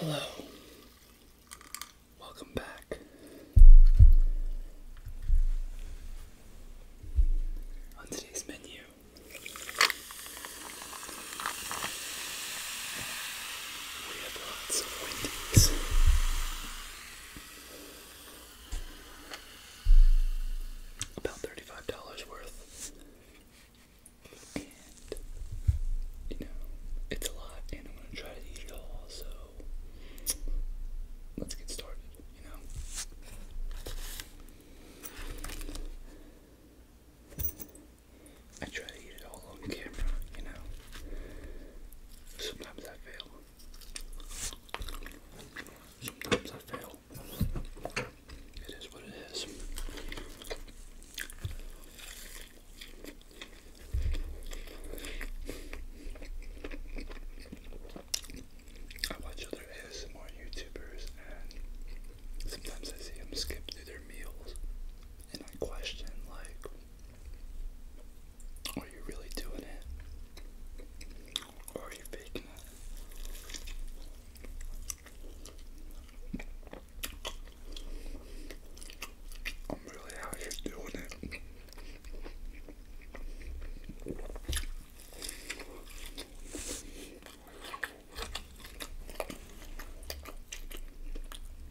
Hello. Welcome back. On today's menu, we have lots of Wendy's. About thirty-five dollars worth. And you know, it's a lot and I'm gonna try to eat it all, so let's get started, you know. I try to eat it all on camera, you know. Sometimes I fail. Sometimes I fail. It is what it is. I watch other ASMR YouTubers and sometimes I see them skip through their meals and I question like, are you really doing it, or are you faking it? I'm really out here doing it.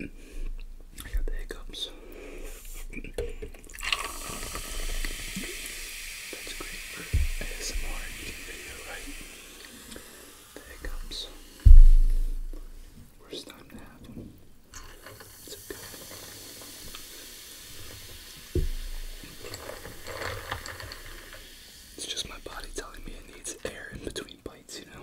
I got the hiccups. That's great for ASMR eating video, right? The hiccups. Worst time to have them. It's okay. It's just my body telling me it needs air in between bites, you know?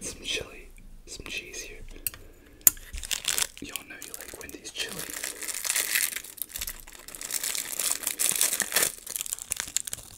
Got some chili, some cheese here. Y'all know you like Wendy's chili.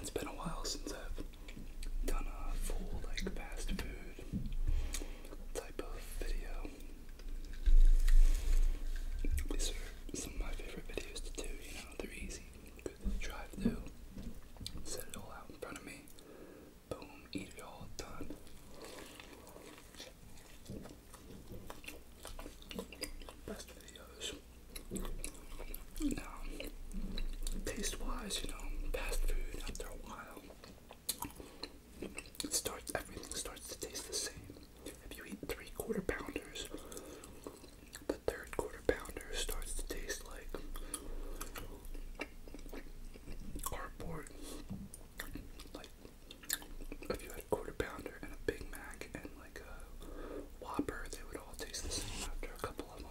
It's been a while since I've done a full like fast food type of video. These are some of my favorite videos to do, you know, they're easy. Go to the drive through, set it all out in front of me, boom, eat it all done. Best videos. Now, taste wise, you know, fast food after a while it starts everything starts to taste the same. If you eat three quarter pounders, the third quarter pounder starts to taste like cardboard. Like if you had a quarter pounder and a Big Mac and like a Whopper, they would all taste the same after a couple of them.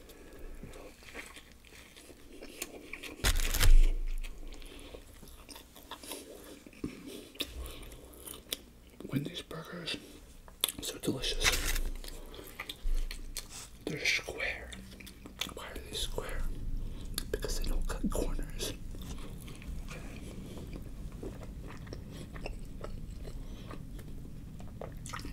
Wendy's burgers, so delicious. They're square. Why are they square? Because they don't cut corners. Okay.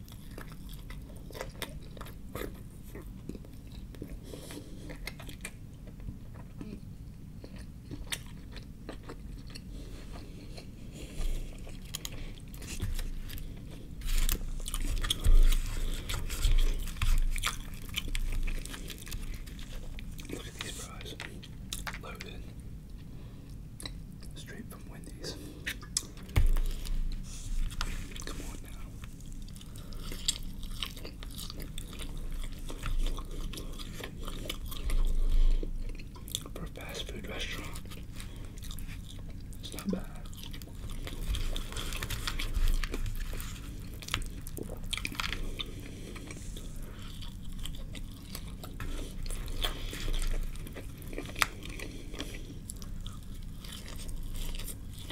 Look at these fries. Loaded. Straight from Wendy's. Come on now. For fast food restaurant, it's not bad.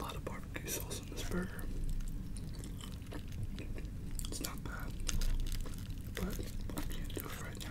A lot of barbecue sauce in this burger. It's not bad, but can't do it right now.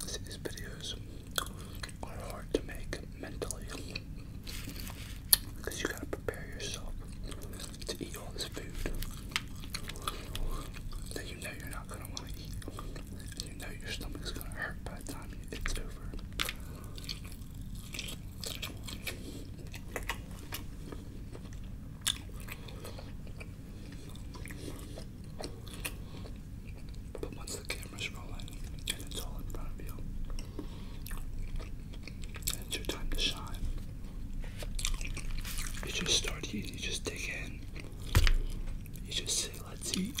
These videos are hard to make mentally because you gotta prepare yourself to eat all this food that you know you're not gonna want to eat. And you know your stomach's gonna hurt by the time you get it's over. But once the camera's rolling and it's all in front of you, it's your time to shine. You just start eating, you just dig in. You just say, let's eat.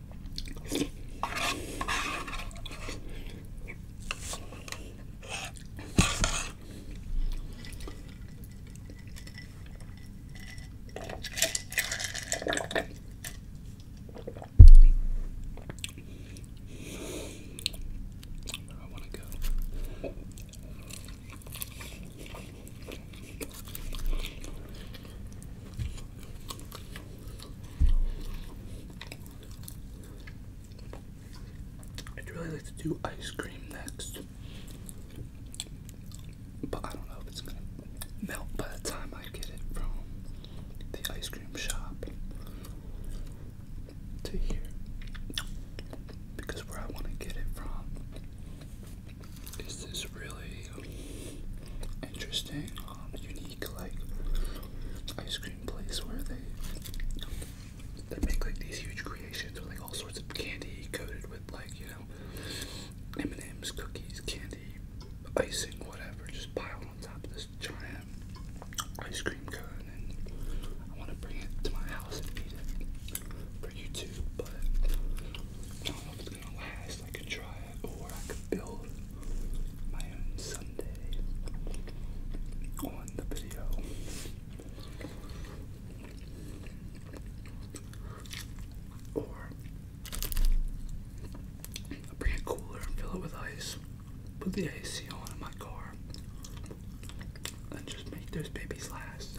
Where I want to go. I'd really like to do ice cream next. But I don't know if it's gonna melt by the time I get it from the ice cream shop to here. Because where I want to get it from is this really interesting, um, unique like ice cream place where they they make like these huge creations with like all sorts of candy coated with like you know M&M's, cookies, candy, icing, whatever, just piled on top of this giant ice cream cone. And I want to bring it to my house and eat it for YouTube, but I don't know if it's gonna last. I could try it, or I could build my own someday on the video. Or bring a cooler and fill it with ice, put the AC on in my car, and just make those babies last.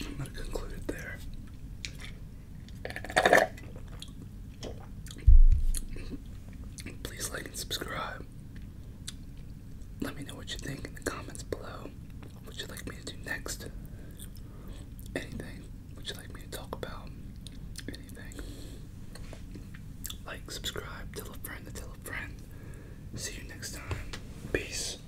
I'm going to conclude it there. Please like and subscribe. Let me know what you think in the comments below. What you like me to do next. Anything. Would you like me to talk about? Anything. Like, subscribe, tell a friend to tell a friend. See you next time. Peace.